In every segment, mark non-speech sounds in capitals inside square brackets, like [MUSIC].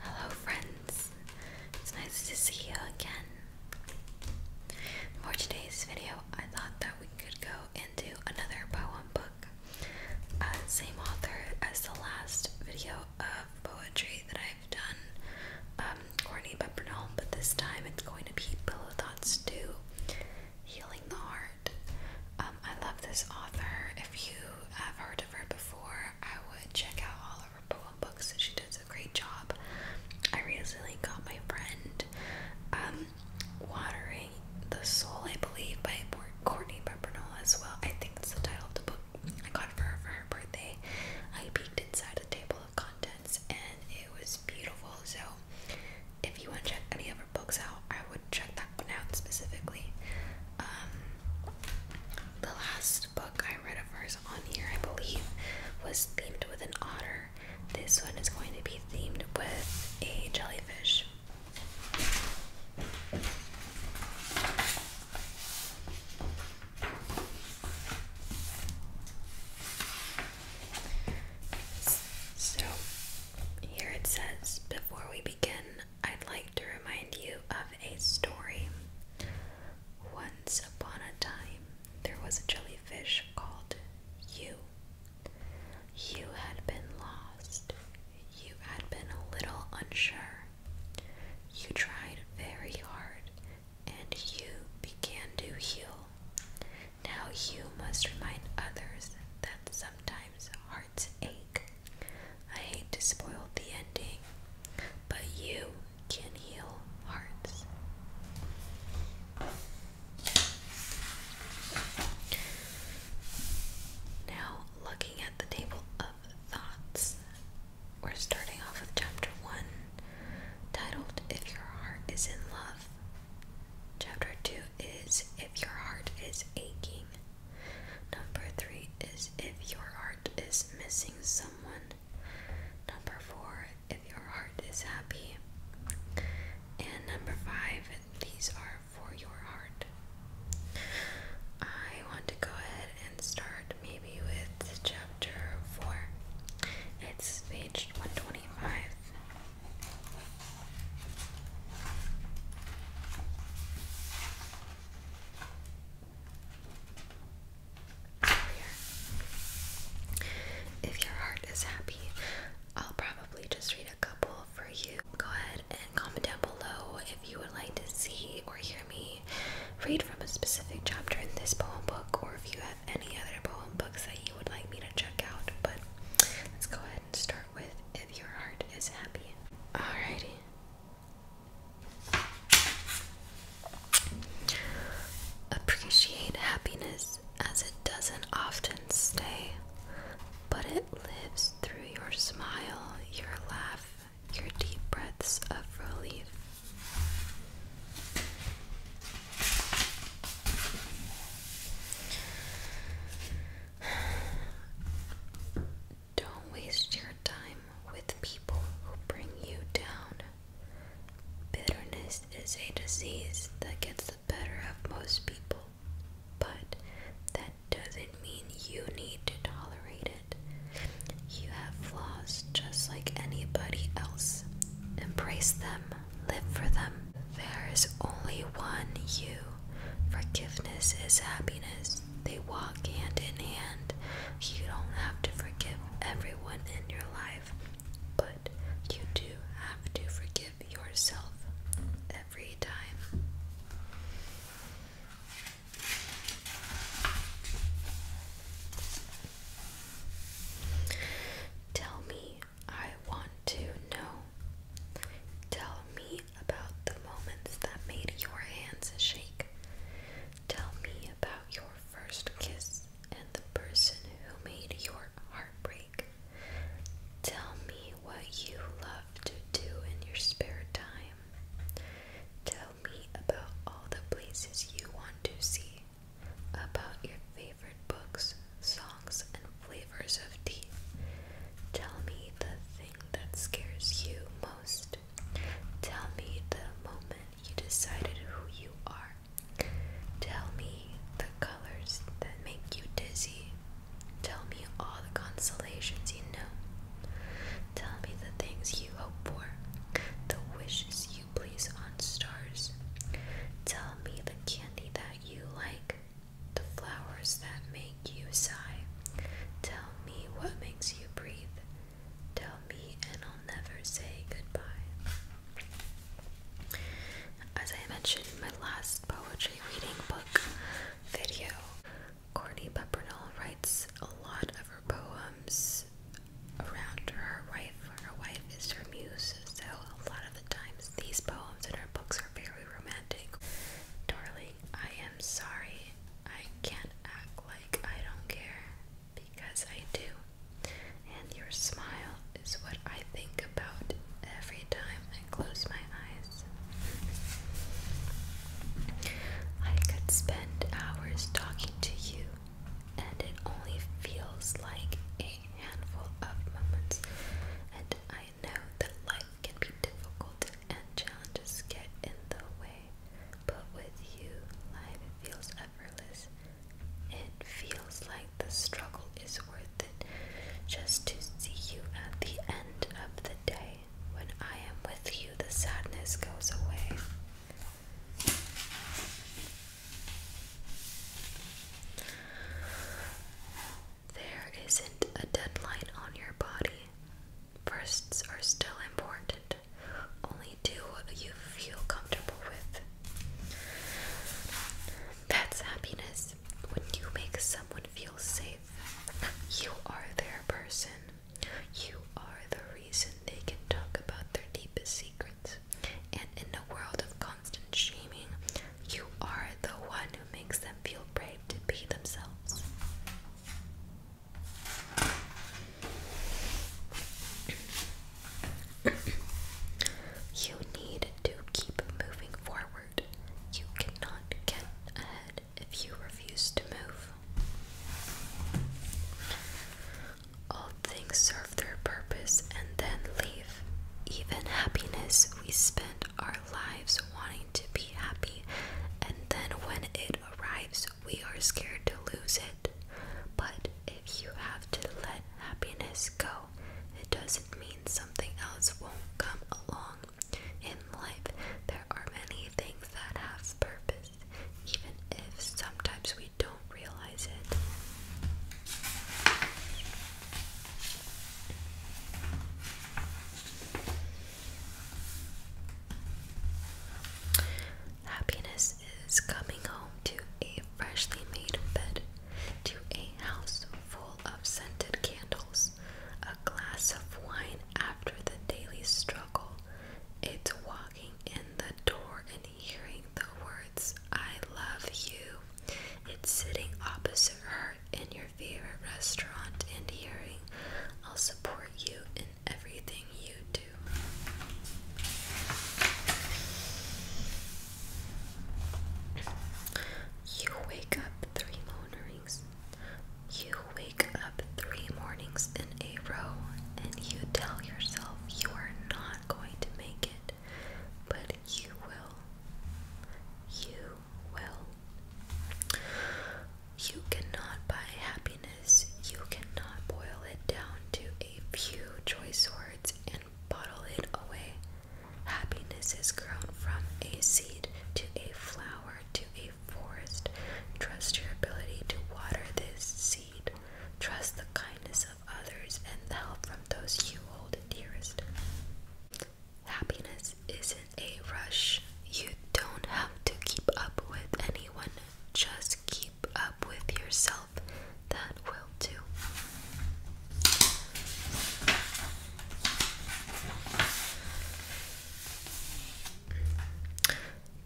Hello, friends. It's nice to see you again. For today's video, I thought that we could go into another poem book. Uh, same author as the last video of poetry that I've done, um, Courtney Pepperdome, but this time it's going to be Pillow Thoughts 2 Healing the Heart. Um, I love this author. If you have heard of her before, I would check out all of her poem books. she does a great job. I recently got my friend um, Watering the Soul, I believe, by Courtney Peppernoll as well. I think that's the title of the book. I got for her for her birthday. I peeked inside the table of contents and it was beautiful. So if you want to check any of her books out, I would check that Capnoun specifically. Um, the last book I read of hers on here, I believe, was themed with an otter. This one is going to be themed with a jellyfish. So, here it says, before we begin, I'd like to remind you of a story. Once upon a time, there was a jellyfish called you. You had been lost. You had been a little unsure. You tried very hard, and you began to heal. Now you must remind others that sometimes hearts ache. I hate to spoil the ending, but you can heal hearts. Now, looking at the table of thoughts, we're starting off with chapter 1, titled If Your Heart Is in Love. Chapter 2 is If Your Heart Is Aching. Number three is if your heart is missing someone. Number four, if your heart is happy. And number five, these are for your heart. I want to go ahead and start maybe with chapter four. It's page 125. If your heart is happy, I'll probably just read a couple for you. Go ahead and comment down below if you would like to see or hear me read from a specific chapter in this poem book, or if you have any other poem books that you would like me to check out. But let's go ahead start with if your heart is happy. Alrighty. Appreciate happiness as it doesn't often stay, but it lives through your smile, your laugh, your deep breaths of relief. Don't waste your time with people who bring you down. Bitterness is a disease that gets the better of most people, but that doesn't mean you need to tolerate it. You have flaws just like anybody else. Embrace them, live for them, there is only one you. Forgiveness is happiness. They walk hand in hand. You don't have to forgive everyone in your life, but you do have to forgive yourself every time. Tell me I want to know. Tell me about the moments that made your hands shake. Tell me about your first kiss and the person who made your heart break. Tell me what you love to do in your spare time. Tell me about all the places you want to see, about your favorite books, songs, and flavors of tea. Tell me the thing that scares you most. Tell me the moment you decided who you are. Tell me the colors that make you dizzy. Tell me all the constellations you know. Tell me the things you hope for, the wishes you place on stars. Tell me the candy that you like the flowers that make you sigh. Tell me what makes you breathe. Tell me, and I'll never say goodbye. As I mentioned in my last poetry reading book video, Courtney Peppernell writes a lot of her poems around her wife. Her wife is her muse, so a lot of of these poems in her books are very romantic. Darling, I am sorry. I can't act like I don't care because I do. And your smile is what I think about every time I close my eyes. I could spend hours talking to you, and it only feels like a a handful of moments, and I know that life can be difficult and challenges get in the way. But with you, life feels effortless. It feels like the struggle is worth it just to see you at the end of the day. When I am with you, the sadness goes away. There isn't a deadline on your body. Firsts are still important. Only do what you feel comfortable with. That's happiness. When you make someone feel safe, you are their person. You are the reason they can talk about their deepest secrets. And in the world of constant shaming, you are the one who makes them feel brave to be themselves. you need to keep moving forward. You cannot get ahead if you refuse to move. All things serve their purpose and then leave. Even happiness, we spend our lives wanting to be happy, and then when it arrives, we are scared to lose it. But if you have to let happiness go, it doesn't mean something else won't come along. In life, there are many things that have purpose, even if sometimes we don't realize it. Happiness is coming home to a freshly made bed, to a house full of scented candles, a glass of wine after the daily struggle. It's walking in the door and hearing the words, I love you. It's sitting opposite her in your favorite restaurant and hearing, I'll support you in everything you do. You wake up three mornings. You wake up three mornings a row and you tell yourself you are not going to make it, but you will. You will. You cannot buy happiness, you cannot boil it down to a few choice words and bottle it away. Happiness is grown from a seed to a flower to a forest. Trust your ability to water this seed trust the kindness of others, and the help from those you hold dearest. Happiness isn't a rush. You don't have to keep up with anyone, just keep up with yourself. That will do.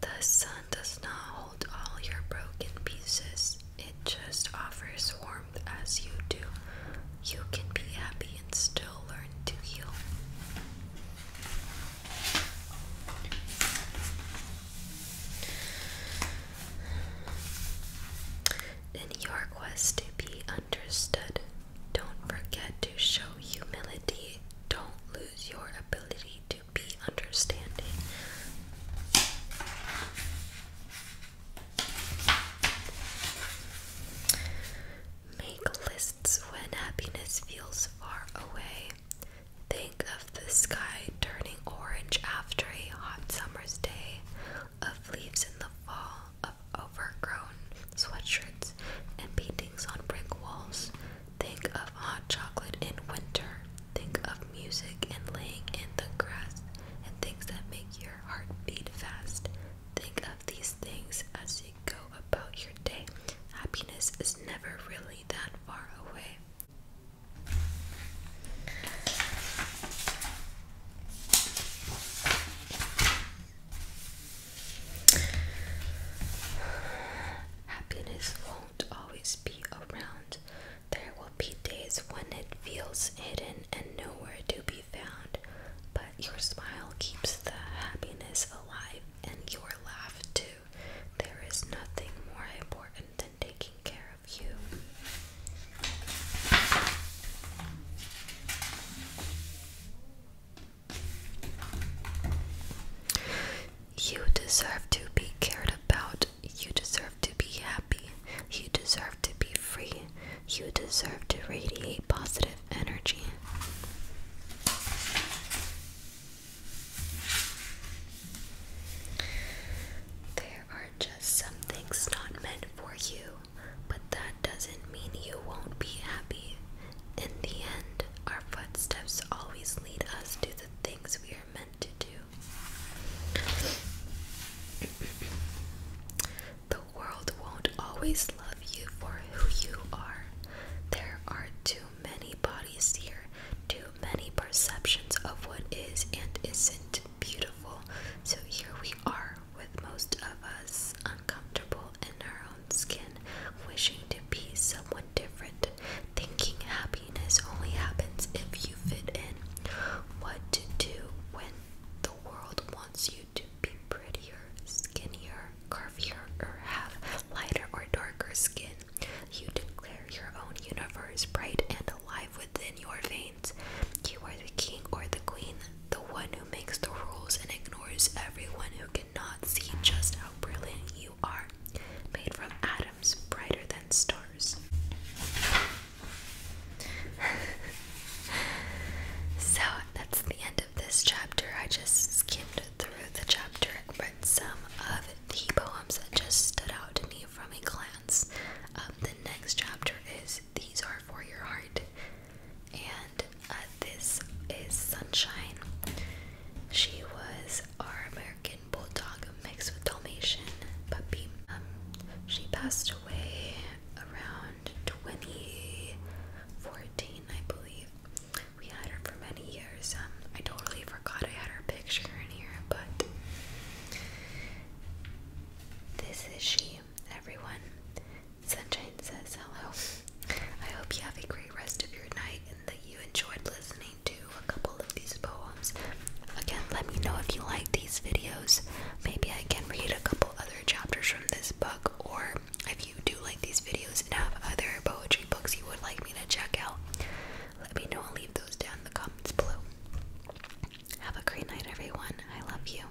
The sun does not hold all your broken pieces, it just offers warmth as you do. You can be happy and still learn to heal. In your quest to be understood, don't forget to show humility. Don't lose your ability to be understanding. Make lists when happiness feels far away. Think of the sky turning orange after a hot summer's day, of leaves in the fall, of overgrown sweatshirts and paintings on brick walls, Think of hot chocolate in winter. Think of music and laying in the grass and things that make your heart beat fast. Think of these things as you go about your day. Happiness is never really that far away. Happiness won't always be around. There will be days when it feels hidden and nowhere to be found, but your smile keeps the happiness alive and your laugh too. There is nothing more important than taking care of you. You deserve to be cared about. You deserve to be happy. You deserve to be free. You deserve to radiate positive energy. There are just some things not meant for you, but that doesn't mean you won't be happy. In the end, our footsteps always lead us to the things we are meant to do. the world won't always love you for who you are. There are too many bodies here, too many perceptions of what is and isn't beautiful. So here we are, with most of us uncomfortable in our skin, wishing to be someone different, thinking happiness only happens if you fit in. What to do when the world wants you to be prettier, skinnier, curvier, or have lighter or darker skin. You declare your own universe bright and alive within your veins. You are the king or the queen, the one who makes the rules and ignores everyone who can. Not see just how brilliant you are, made from atoms brighter than stars. [LAUGHS] so that's the end of this chapter. I just skimmed through the chapter and read some of the poems that just stood out to me from a glance. Um, the next chapter is These Are For Your Heart. And and uh, this is Sunshine. She was our American bulldog mixed with Dalmatian puppy. Um, she passed away around 2014, I believe. We had her for many years. Um, I totally forgot I had her picture in here, but this is she, everyone. Sunshine says hello. I hope you have a great rest of your night and that you enjoyed listening to a couple of these poems. Again, let me know if you like these videos. Maybe I can read a couple other chapters from this book, or if you do like these videos and have other poetry books you would like me to check out, let me know and leave those down in the comments below. Have a great night, everyone. I love you.